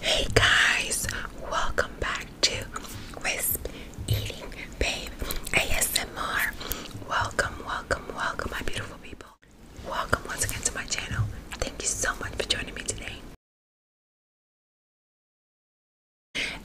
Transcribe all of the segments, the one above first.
Hey guys, welcome back to Wisp Eating Babe ASMR. Welcome, welcome, welcome, my beautiful people. Welcome once again to my channel. Thank you so much for joining me today.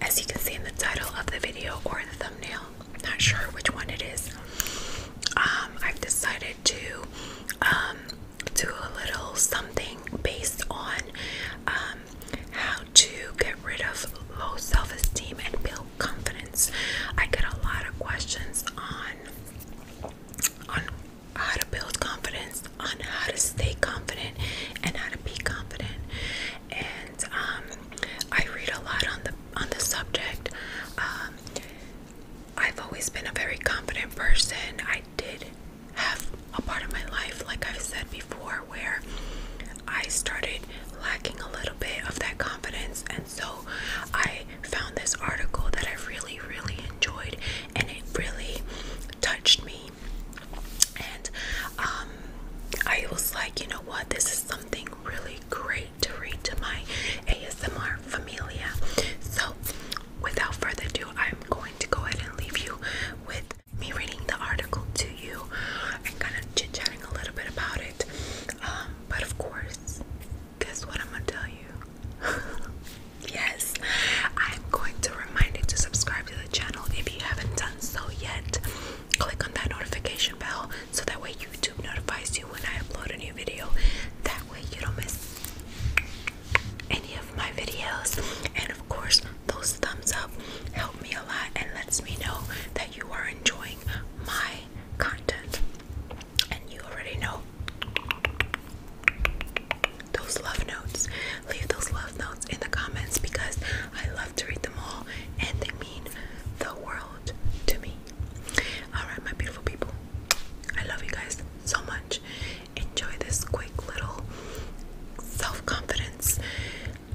As you can see in the title of the video or the thumbnail, not sure which one it is. Um, I've decided to um, do a little something based on um, how to get rid of low self esteem and build confidence. I get a lot of questions on on how to build confidence, on how to stay confident, and how to be confident. And um, I read a lot on the on the subject. Um, I've always been a very confident person. I did have a part of my life, like I've said before, where I started lacking a little bit of that confidence, and so I found this article that I really, really enjoyed, and it really touched me. And um, I was like, you know what, this is something really great to read to my ASMR familia. So, without further ado, I'm going going to go ahead and leave you with me reading the article to you and kind of chit chatting a little bit about it. Um, but of course, guess what I'm gonna tell you? yes, I'm going to remind you to subscribe to the channel if you haven't done so yet. Click on that notification bell so that way YouTube notifies you when I upload a new video. That way, you don't miss any of my videos and of course those thumbs up help me a lot and lets me know that you are enjoying my content and you already know those love notes leave those love notes in the comments because I love to read them all and they mean the world to me all right my beautiful people I love you guys so much enjoy this quick little self confidence,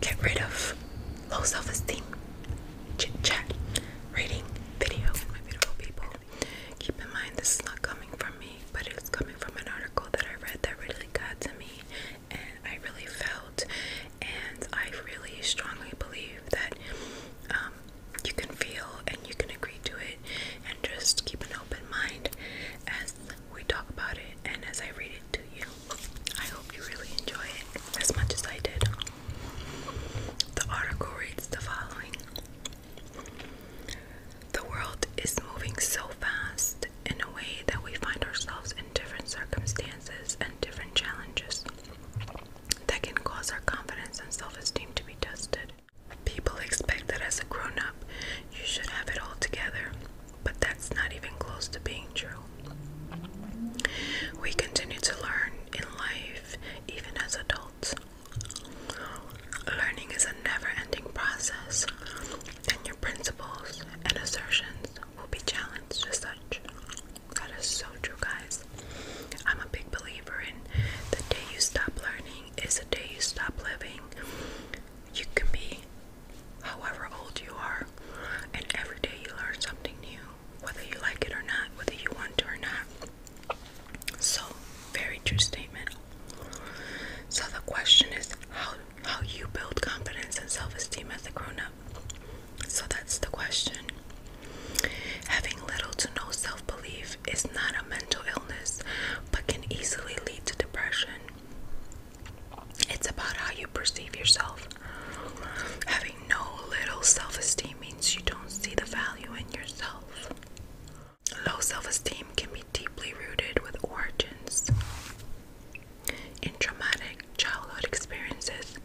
get rid of low self esteem, chit chat, reading video. My beautiful people, keep in mind this is not coming from me, but it's coming from an article that I read that really got to me and I really felt, and I really strongly believe that um, you can feel and you can agree to it and just keep an open mind as we talk about it and as I read it to you. I hope you really enjoy it as much as I did. The article reads the following The world is moving so fast in a way that we find ourselves in different circumstances and different challenges that can cause our confidence and self esteem to be tested. People expect that as a grown up, you should have it all together, but that's not even close to being true. We continue to learn in life, even as adults. Learning is a never ending process, and your principles and assertions will be challenged Just such. That is so true, guys. I'm a big believer in the day you stop learning is the day you stop living. You can be however old you are, and every day you learn something new, whether you like it or not, whether you want to or not. So, very true statement. So the question is how how you build confidence and self-esteem as a grown-up. So that's the question. Having little to no self belief is not a mental illness but can easily lead to depression. It's about how you perceive yourself. Having no little self esteem means you don't see the value in yourself. Low self esteem can be deeply rooted with origins in traumatic childhood experiences,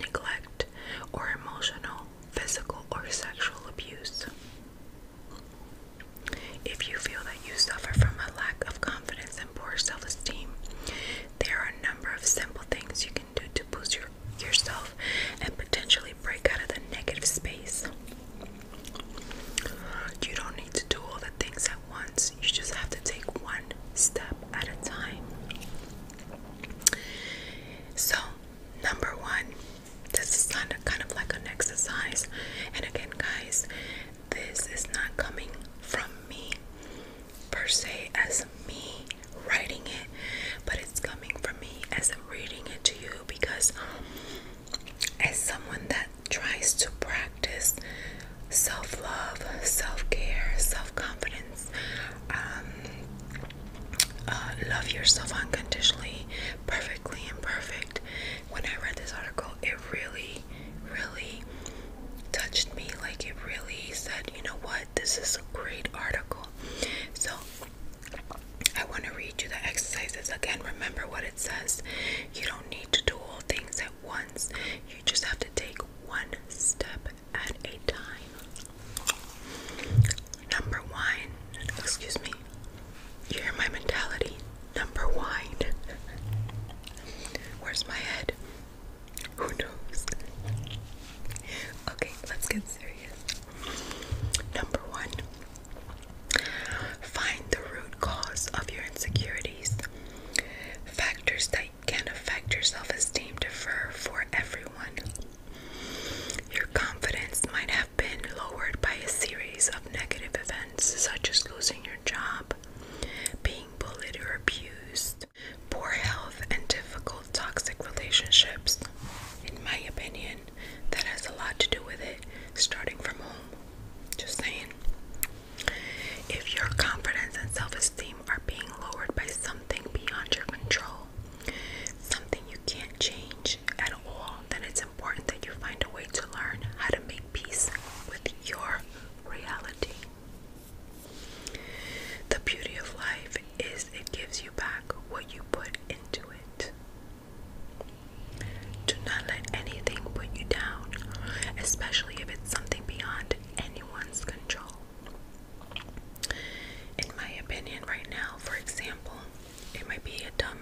neglect, or emotional, physical, or sexual abuse. If you feel that you suffer from a lack of confidence and poor self esteem, there are a number of simple things you can do to boost your, yourself and potentially break out of the negative space. You don't need to do all the things at once, you just have to take one step at a time. So, number one, this is kind of like an exercise. And again, guys, this is not coming from me per se as me writing it, but it's coming from me as I'm reading it to you because, as someone that tries to practice self love, self care, self confidence, um, uh, love yourself unconditionally, perfectly imperfect. When I read this article, it really, really touched me. Like it really said, you know what, this is a great article. So I want to read you the exercises again. Remember what it says. You don't need to do all things at once. You just have to take one step at a time. Number one, excuse me, you hear my mentality. Number one, where's my head? Who knows? Okay, let's get serious. Number one, find the root cause of your insecurities. Factors that can affect your self esteem Defer for everyone. Your confidence might have been lowered by a series of negative events, such as losing your job, being bullied or abused, poor health, and difficult toxic relationships. In my opinion, that has a lot to do with it, starting from home. Just saying. If your confidence and self esteem are being lowered by something beyond your control, something you can't change at all, then it's important that you find a way to learn how to make peace with your reality. The beauty of life is it gives you back what you put into it. Do not let anything put you down, especially if it's something beyond anyone's control in my opinion right now for example it might be a dumb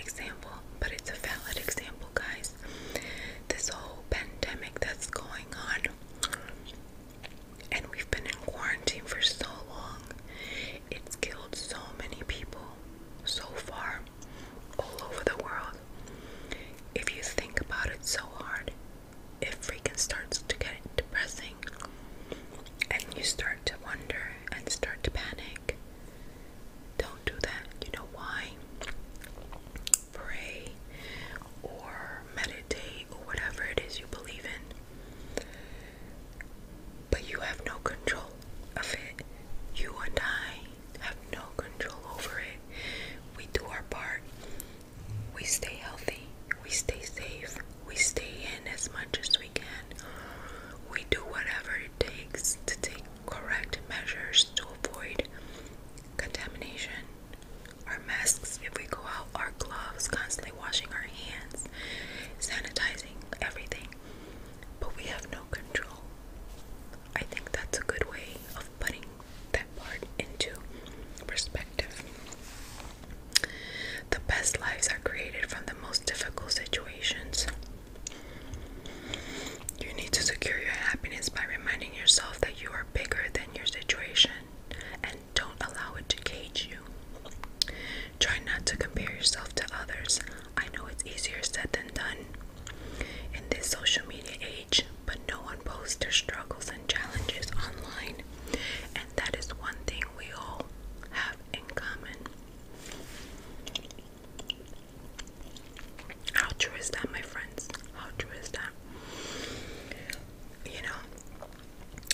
example but it's a valid example guys this whole pandemic that's going on and we've been in quarantine for so long it's killed so many people so far all over the world if you think about it so hard it freaking starts to get depressing and you start to wonder and start to panic. Don't do that. You know why? Pray or meditate or whatever it is you believe in. But you have no control of it. You and I have no control over it. We do our part we stay healthy, we stay safe, we stay in as much as we can. We do whatever it takes to take correct measures to avoid contamination. Our masks, if we go out, our gloves, constantly washing our hands, sanitizing everything. But we have no control. I think that's a good way of putting that part into perspective. The best lives are created from the most difficult situations. You need to secure your happiness by reminding yourself that you are bigger than your situation and don't allow it to cage you. Try not to compare yourself to others. I know it's easier said than done. In this social media age, but no one posts their struggles and challenges online. And that is one thing we all have in common. How true is that, my friends? How true is that? You know,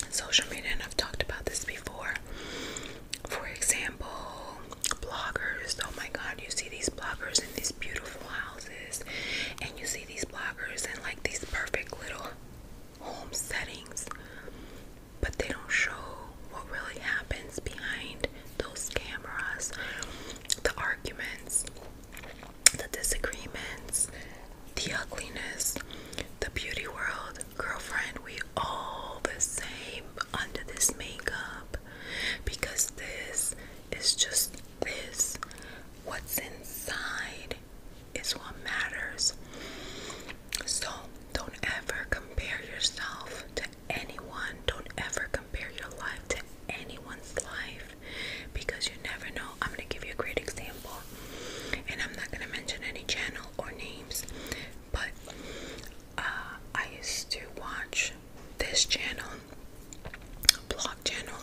social media, and I've talked about this before. For example, bloggers. Oh my god, you see these bloggers in these beautiful houses, and you these bloggers and like these perfect little home settings, but they don't show what really happens behind those cameras, the arguments, the disagreements, the ugliness, the beauty world. Girlfriend, we all the same under this makeup because this is just this what's inside is what matters. So don't ever compare yourself to anyone. Don't ever compare your life to anyone's life because you never know. I'm going to give you a great example. And I'm not going to mention any channel or names, but uh, I used to watch this channel, blog channel,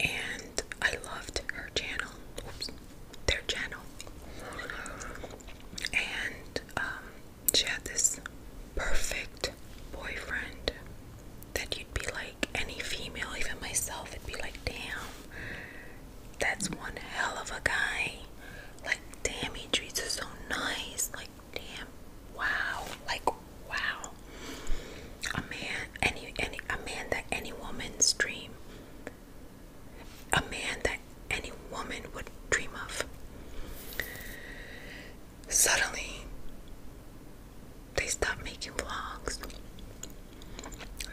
and I loved her channel, oops, their channel. And um, she had this perfect boyfriend that you'd be like, any female, even myself, would be like, damn, that's one hell of a guy. Like, damn, he treats her so nice. Like, damn, wow, like wow, a man, any, any, a man that any woman's dream, a man that any woman would dream of. Suddenly, they stop making vlogs.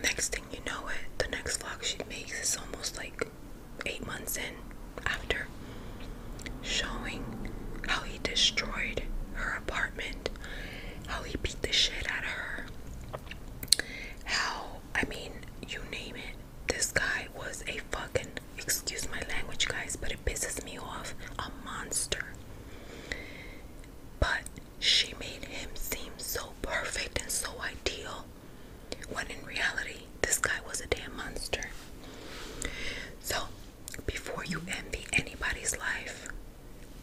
Next thing you know, it the next vlog she makes is almost like eight months in after showing how he destroyed her apartment, how he beat the shit out of her, how, I mean, you name it. This guy was a fucking, excuse my language, guys, but it pisses me off, a monster. But she made him seem so perfect and so ideal when in reality, this guy was a damn monster. So before you envy anybody's life.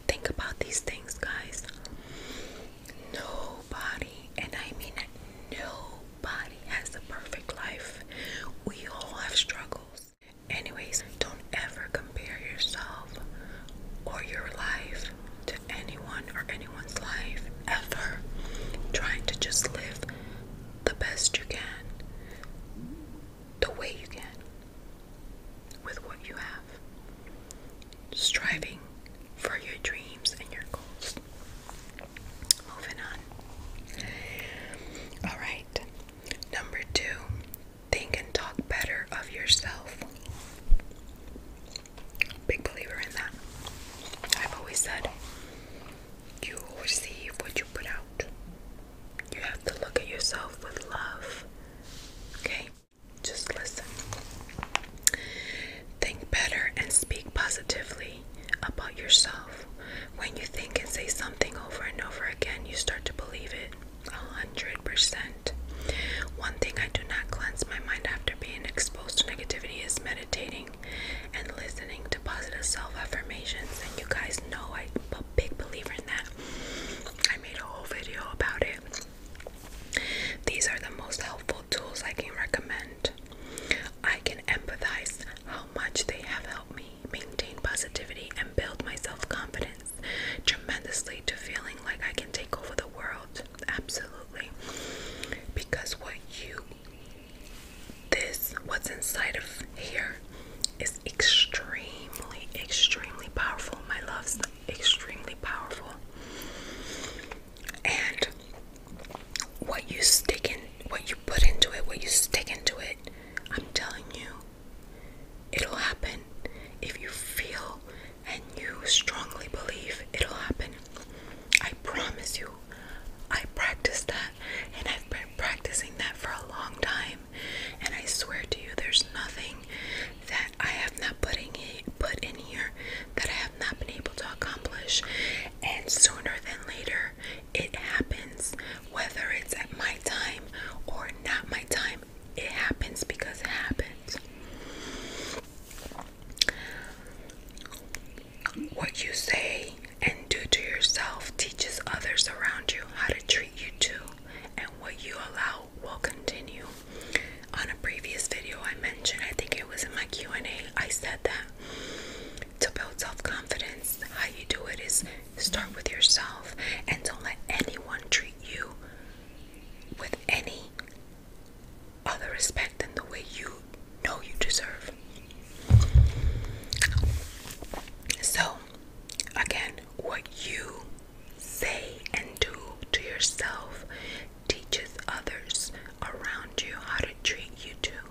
Think about these things, guys. Nobody, and I mean nobody, has a perfect life. We all have struggles. Anyways, don't ever compare yourself or your life to anyone or anyone's life ever. Trying to just live the best you can, the way you can, with what you have. Striving for your dreams and your goals. Moving on. Alright, number two, think and talk better of yourself. Big believer in that. I've always said you will receive what you put out. You have to look at yourself with love. Okay? Just listen. Think better and speak positively about yourself. When you think and say something over and over again, you start to believe it a hundred percent. One thing I do not cleanse my mind after being exposed to negativity is meditating and listening to positive self affirmations. And you guys know I'm a big believer in that. I made a whole video about it. These are the most helpful tools I can recommend. I can empathize how much they have helped me maintain positivity and build my self confidence tremendously to feeling like I can take over the world. Absolutely. Because what you this what's inside of here is extremely extremely powerful my love's extremely powerful and what you stick in what you put into it what you stick into it i'm telling you it'll happen if you feel and you strongly believe it'll happen i promise you I practiced that and I've been practicing that for a long time. And I swear to you, there's nothing that I have not putting it, put in here that I have not been able to accomplish. And sooner than later, it happens. Whether it's at my time or not my time, it happens because it happens. What you say and do to yourself teaches others around you how to treat you too, and what you allow will continue. On a previous video I mentioned, I think it was in my Q&A, I said that to build self-confidence, how you do it is start with yourself and don't let anyone treat you with any other respect than the way you know you deserve. So, again, what you say and do to yourself teaches others around you how to treat you too,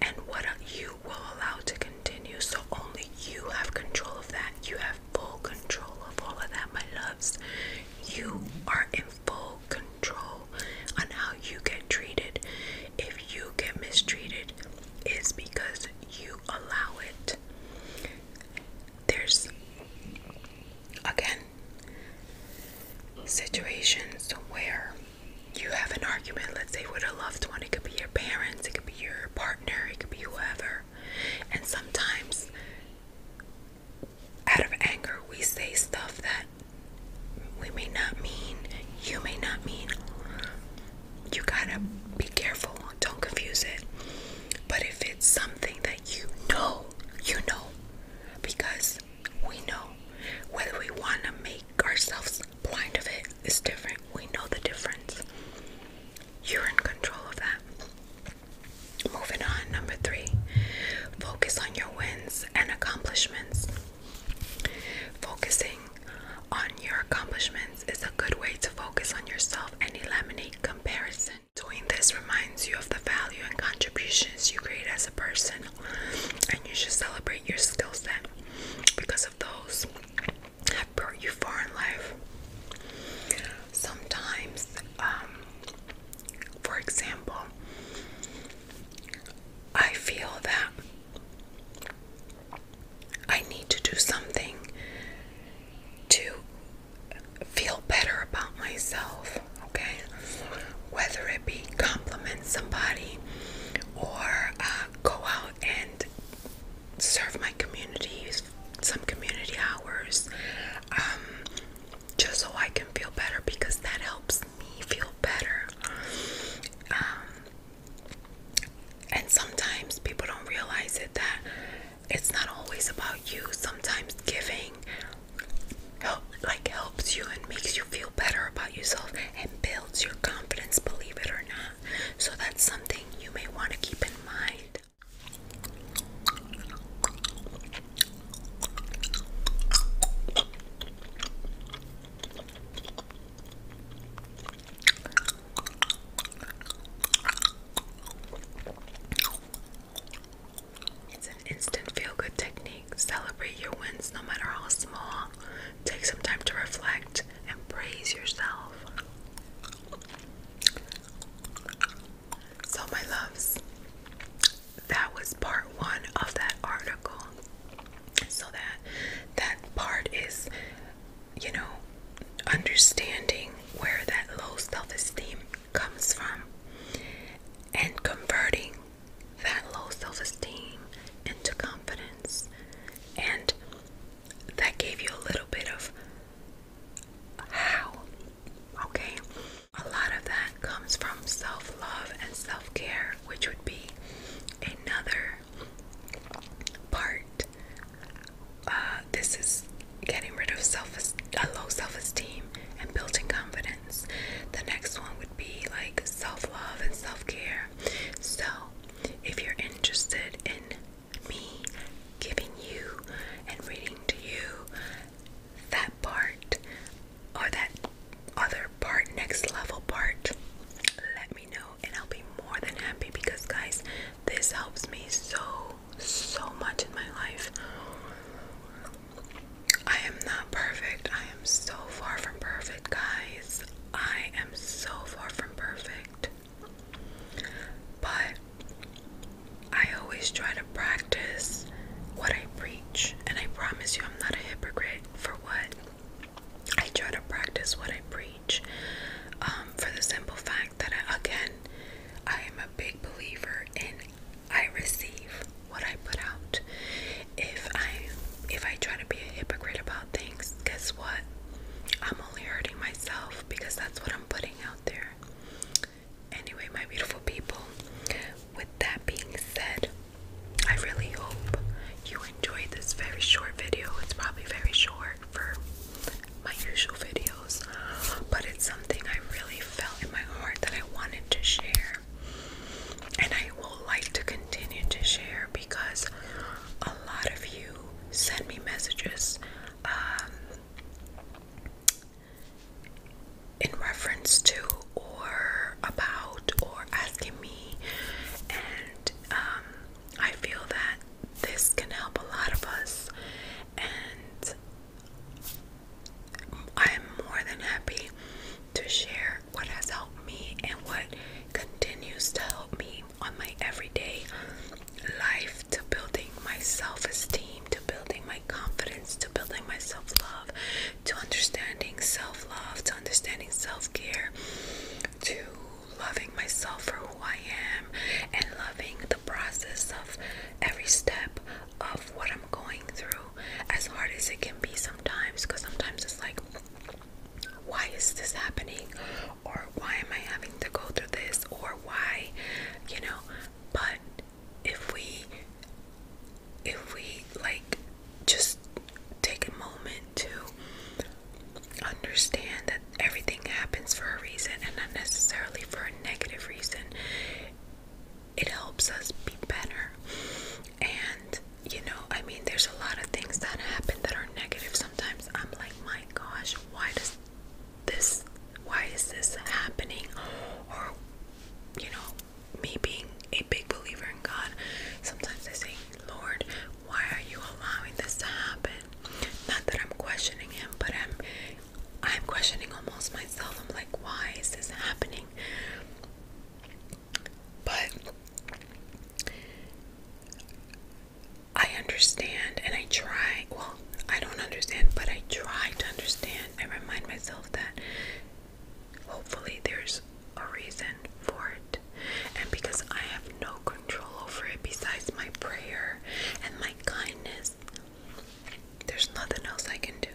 and what you will allow to continue. So, only you have control of that. You have full control of all of that, my loves. You are in full control on how you get treated. If you get mistreated, it's because you allow it. There's, again, situations where you have an argument, let's say with a loved one, it could be your parents, it could be your partner, it could be whoever. And sometimes, out of anger, we say stuff that that we may not mean, you may not mean. You gotta be careful, don't confuse it. But if it's something that you know, you know, because we know whether we want to make ourselves blind of it is different. We know the difference. You're in control of that. Moving on, number three, focus on your wins and accomplishments. Focusing on your accomplishments is a good way to focus on yourself and eliminate comparison. Doing this reminds you of the value and contributions you create as a person, and you should celebrate your skill set because of those have brought you far in life. Sometimes, um, for example, I feel that I need to do something to feel better about myself, okay? Whether it be compliment somebody or uh, go out and serve my community, some community hours, um, just so I can feel better because that helps me feel better. Um, and sometimes people don't realize it that it's not always about you. Sometimes giving help, like helps you and makes you feel better about yourself and builds your confidence, believe it or not. So that's something you may want to keep in mind. It's an instant feel good technique. Celebrate your wins no matter how small. Take some time to reflect and praise yourself. So, my loves, that was part one of that article. So that that part is, you know, understanding where that low self-esteem comes from and converting that low self-esteem into confidence. And that gave you a little bit of how, okay? A lot of that comes from self love and self care, which would be another part. Uh, this is getting rid of self uh, low self esteem and building confidence. The next one would be like self love and self care. So, if you're interested in me giving you and reading to you that part or that other part, next level part, let me know and I'll be more than happy because, guys, this helps me so, so much in my life. I am not perfect. I am so far from perfect, guys. I am so far from perfect. But I always try to practice what I preach, and I promise you, I'm not a hypocrite for what I try to practice what I preach. Um, for the simple fact that, again, I am a big believer in I receive what I put out. If I if I try to be a hypocrite about things, guess what? I'm only hurting myself because that's what I'm putting out there. Anyway, my beautiful people, with that being said, I really hope you enjoyed this very short video. It's probably very short for my usual videos, but it's something I really felt in my heart that I wanted to share. And I will like to continue to share because a lot of you send me messages um, in reference to or about or asking me and um, I feel that this can help a lot of us and I'm more than happy to share what has helped me and what continues to help me on my everyday life to building my self-esteem to building my confidence to building my self-love to understanding self-love to understanding self-care to loving myself for who I am and loving the process of every step of what I'm going through as hard as it can be sometimes because sometimes it's like why is this happening or why am I having to go through this or why you know but if we if we like just take a moment to understand that everything happens for a reason and not necessarily for a negative reason it helps us be better and you know i mean there's a lot of things that happen that are negative sometimes i'm like my gosh why does this why is this happening or you know me being a big believer in god sometimes i say lord why are you allowing this to happen not that i'm questioning him but i'm i'm questioning almost myself i'm like why is this happening but I understand and I try. Well, I don't understand, but I try to understand. I remind myself that hopefully there's a reason for it. And because I have no control over it besides my prayer and my kindness, there's nothing else I can do.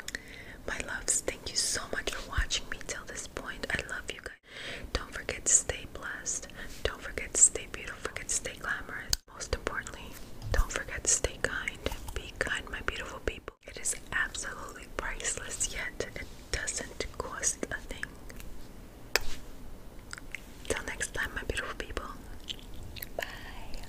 My loves, thank you so much for watching me till this point. I love you guys. Don't forget to stay blessed. Don't forget to stay beautiful. Don't forget to stay glamorous. Most importantly, don't forget to stay kind. Be kind, my beautiful people. It is absolutely priceless, yet it doesn't cost a thing. Till next time, my beautiful people. Bye.